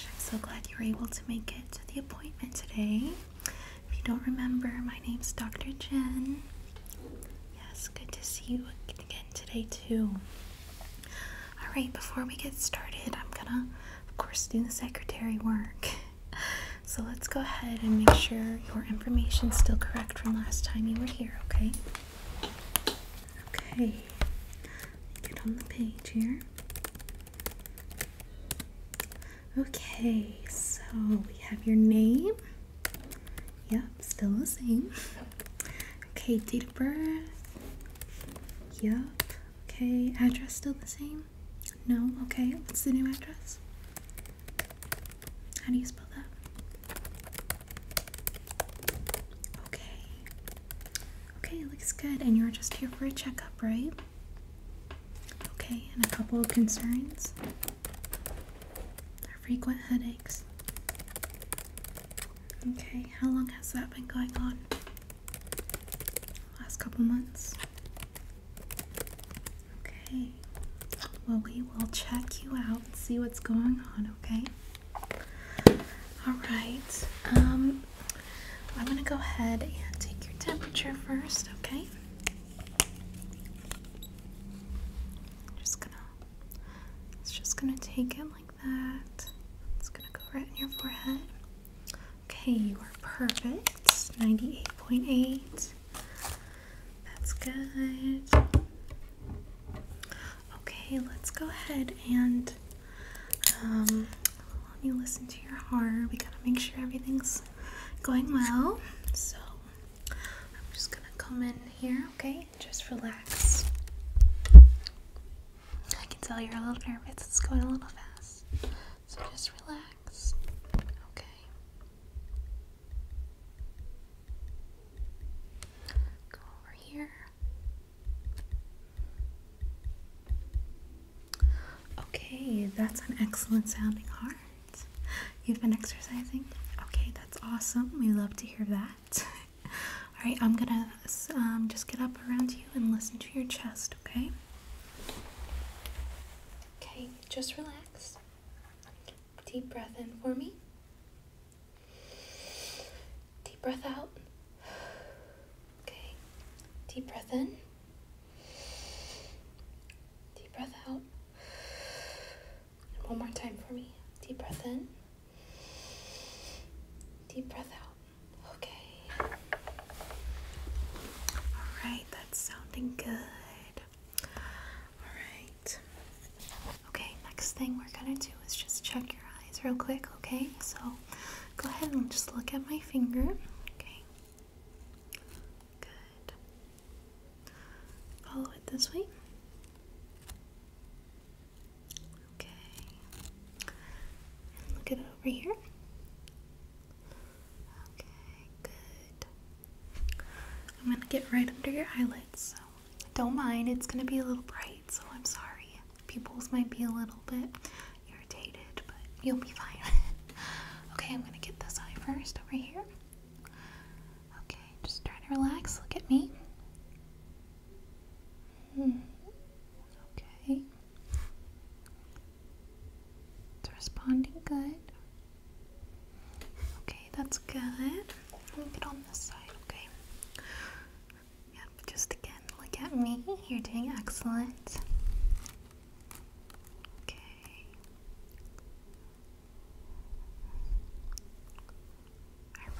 I'm so glad you were able to make it to the appointment today. If you don't remember, my name's Dr. Jen. Yes, good to see you again today, too. Alright, before we get started, I'm gonna, of course, do the secretary work. So let's go ahead and make sure your information's still correct from last time you were here, okay? Okay, get on the page here. Okay, so we have your name. Yep, still the same. Okay, date of birth. Yep. Okay, address still the same? No? Okay, what's the new address? How do you spell that? Okay. Okay, looks good. And you're just here for a checkup, right? Okay, and a couple of concerns are frequent headaches. Okay, how long has that been going on? Last couple months. Okay. Well, we will check you out and see what's going on, okay? All right. Um, I'm gonna go ahead and take your temperature first, okay? Just gonna, it's just gonna take it like that. It's gonna go right in your forehead. Okay, you are perfect. 98.8. That's good. Okay, let's go ahead and um, let me listen to your heart. We gotta make sure everything's going well. So I'm just gonna come in here, okay? Just relax. I can tell you're a little nervous. It's going a little fast. So just relax. Okay. Go over here. Okay, that's an excellent sounding heart. You've been exercising? Okay, that's awesome. We love to hear that. All right, I'm gonna um, just get up around you and listen to your chest, okay? Okay, just relax. Deep breath in for me. Deep breath out. Okay. Deep breath in. Deep breath out. one more time for me. Deep breath in. Deep breath out. Okay. All right, that's sounding good. All right. Okay, next thing we're gonna do is just check your eyes real quick, okay? So go ahead and just look at my finger, okay? Good. Follow it this way. Okay. look at it over here. Okay, good. I'm gonna get right under your eyelids, don't mind, it's gonna be a little bright, so I'm sorry. Pupils might be a little bit irritated, but you'll be fine. okay, I'm gonna get this eye first over here. Okay, just try to relax. Look at me. Hmm. Okay. It's responding good. Okay, that's good. Get on this side, okay? Yep, just again, look at me. You're doing excellent. Okay.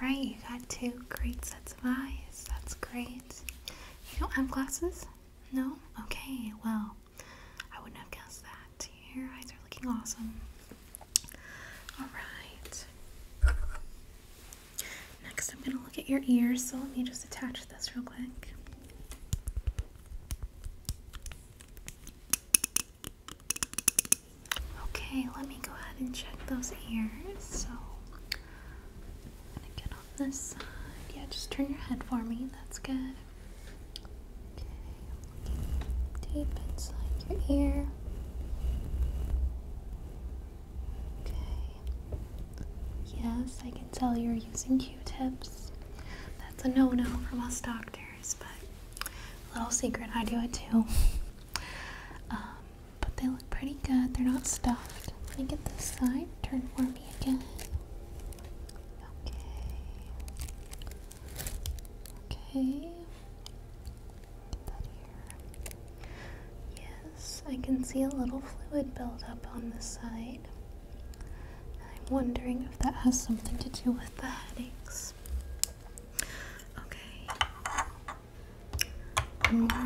Alright, you got two great sets of eyes. That's great. You don't have glasses? No? Okay, well, I wouldn't have guessed that. Your eyes are looking awesome. All right. Next, I'm going to look at your ears, so let me just attach this real quick. Okay, let me go ahead and check those ears. So, going to get on this side. Yeah, just turn your head for me. That's good. Okay. Deep inside your ear. Okay. Yes, I can tell you're using Q-tips. That's a no-no for us doctors, but little secret, I do it too. Um, but they look pretty good. They're not stuffed. Let me get this side. Turn for me again. Okay. Okay. Yes, I can see a little fluid build up on the side. I'm wondering if that has something to do with the headaches. Okay. One mm,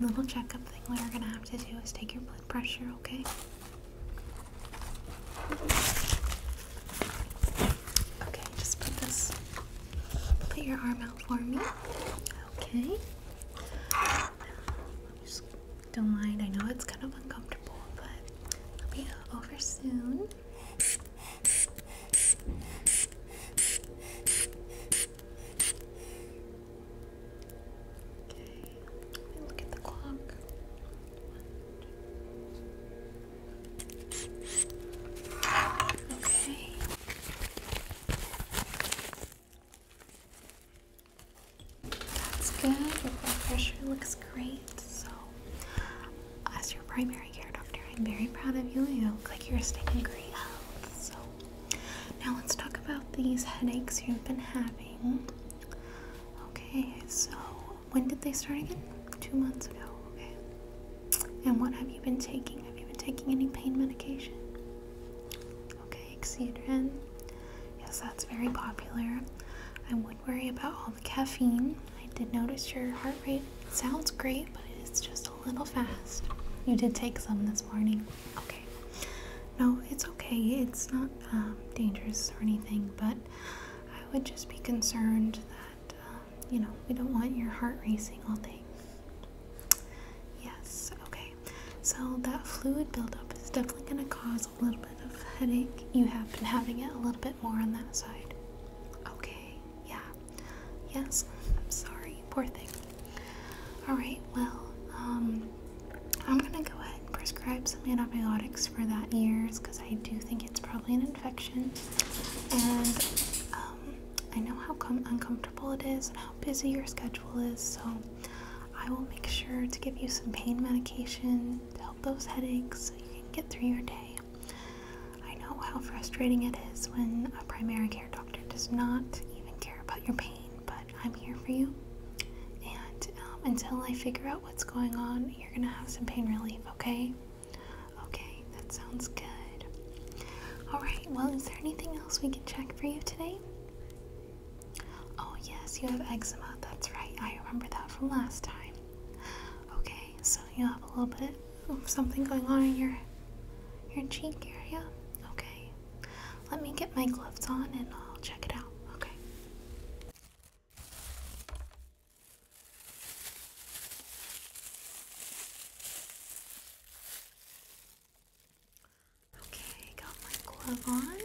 more little checkup thing we're gonna have to do is take your blood pressure, okay? Okay, just put this, put your arm out for me. Okay. don't mind, I know it's kind of uncomfortable, but it'll be over soon. Okay, look at the clock. Okay. That's good. Your blood pressure looks great. So, as your primary care doctor, I'm very proud of you. You look like you're staying in great health. So, now let's talk about these headaches you've been having. Okay, so when did they start again? Two months ago, okay. And what have you been taking? Have you been taking any pain medication? Okay, Excedrin. Yes, that's very popular. I would worry about all the caffeine. I did notice your heart rate sounds great, but it is just a little fast. You did take some this morning. Okay. No, it's okay. It's not um, dangerous or anything, but I would just be concerned that, uh, you know, we don't want your heart racing all day. Yes, okay. So that fluid buildup is definitely going to cause a little bit of headache. You have been having it a little bit more on that side. Okay, yeah. Yes, I'm sorry. Poor thing. All right, well, um, I'm going to go ahead Prescribe some antibiotics for that ear, because I do think it's probably an infection. And um, I know how uncomfortable it is and how busy your schedule is, so I will make sure to give you some pain medication to help those headaches so you can get through your day. I know how frustrating it is when a primary care doctor does not even care about your pain, but I'm here for you. And um, until I figure out what's going on, you're gonna have some pain relief, okay? Okay, that sounds good. Alright, well, is there anything else we can check for you today? Oh, yes, you have eczema, that's right. I remember that from last time. Okay, so you have a little bit something going on in your, your cheek area? Okay. Let me get my gloves on and I'll check it out. Okay. Okay, got my glove on.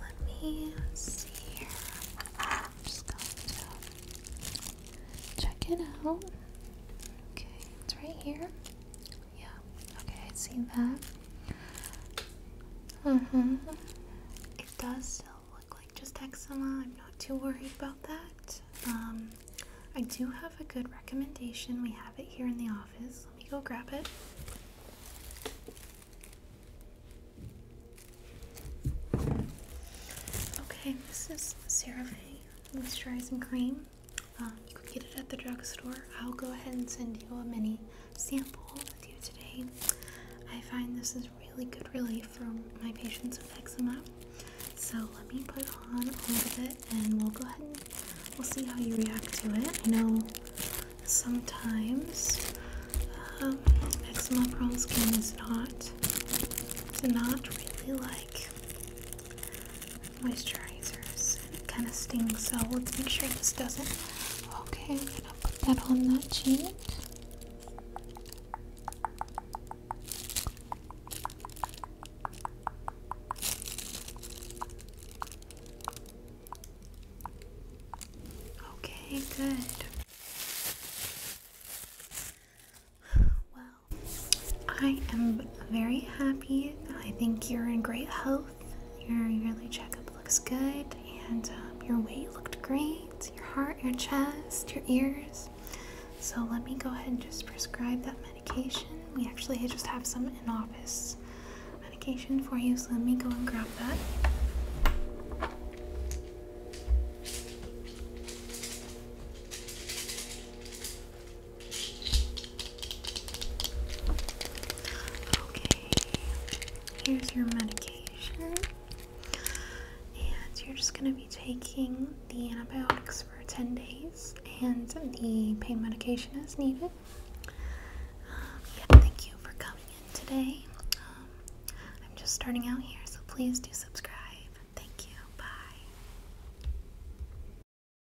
Let me see here. just going check it out. Okay, it's right here. Yeah, okay, I see that. Mm hmm. It does still look like just eczema. I'm not too worried about that. Um, I do have a good recommendation. We have it here in the office. Let me go grab it. Okay, this is CeraVe Moisturizing Cream. Um, you can get it at the drugstore. I'll go ahead and send you a mini sample with you today. I find this is really good relief for my patients with eczema. So let me put on a little bit and we'll go ahead and we'll see how you react to it. I know sometimes um, eczema prone skin is not, it's not really like moisturizers and it kind of stings so let's make sure this doesn't okay I'm gonna put that on that cheek Okay, good. Well, I am very happy. I think you're in great health. Your yearly checkup looks good, and um, your weight looked great. Your heart, your chest, your ears. So let me go ahead and just prescribe that medication. We actually just have some in office medication for you, so let me go and grab that. Okay, here's your medication. And you're just going to be taking the antibiotics for 10 days and the pain medication as needed. Um, yeah, thank you for coming in today. Um, I'm just starting out here, so please do subscribe. Thank you. Bye.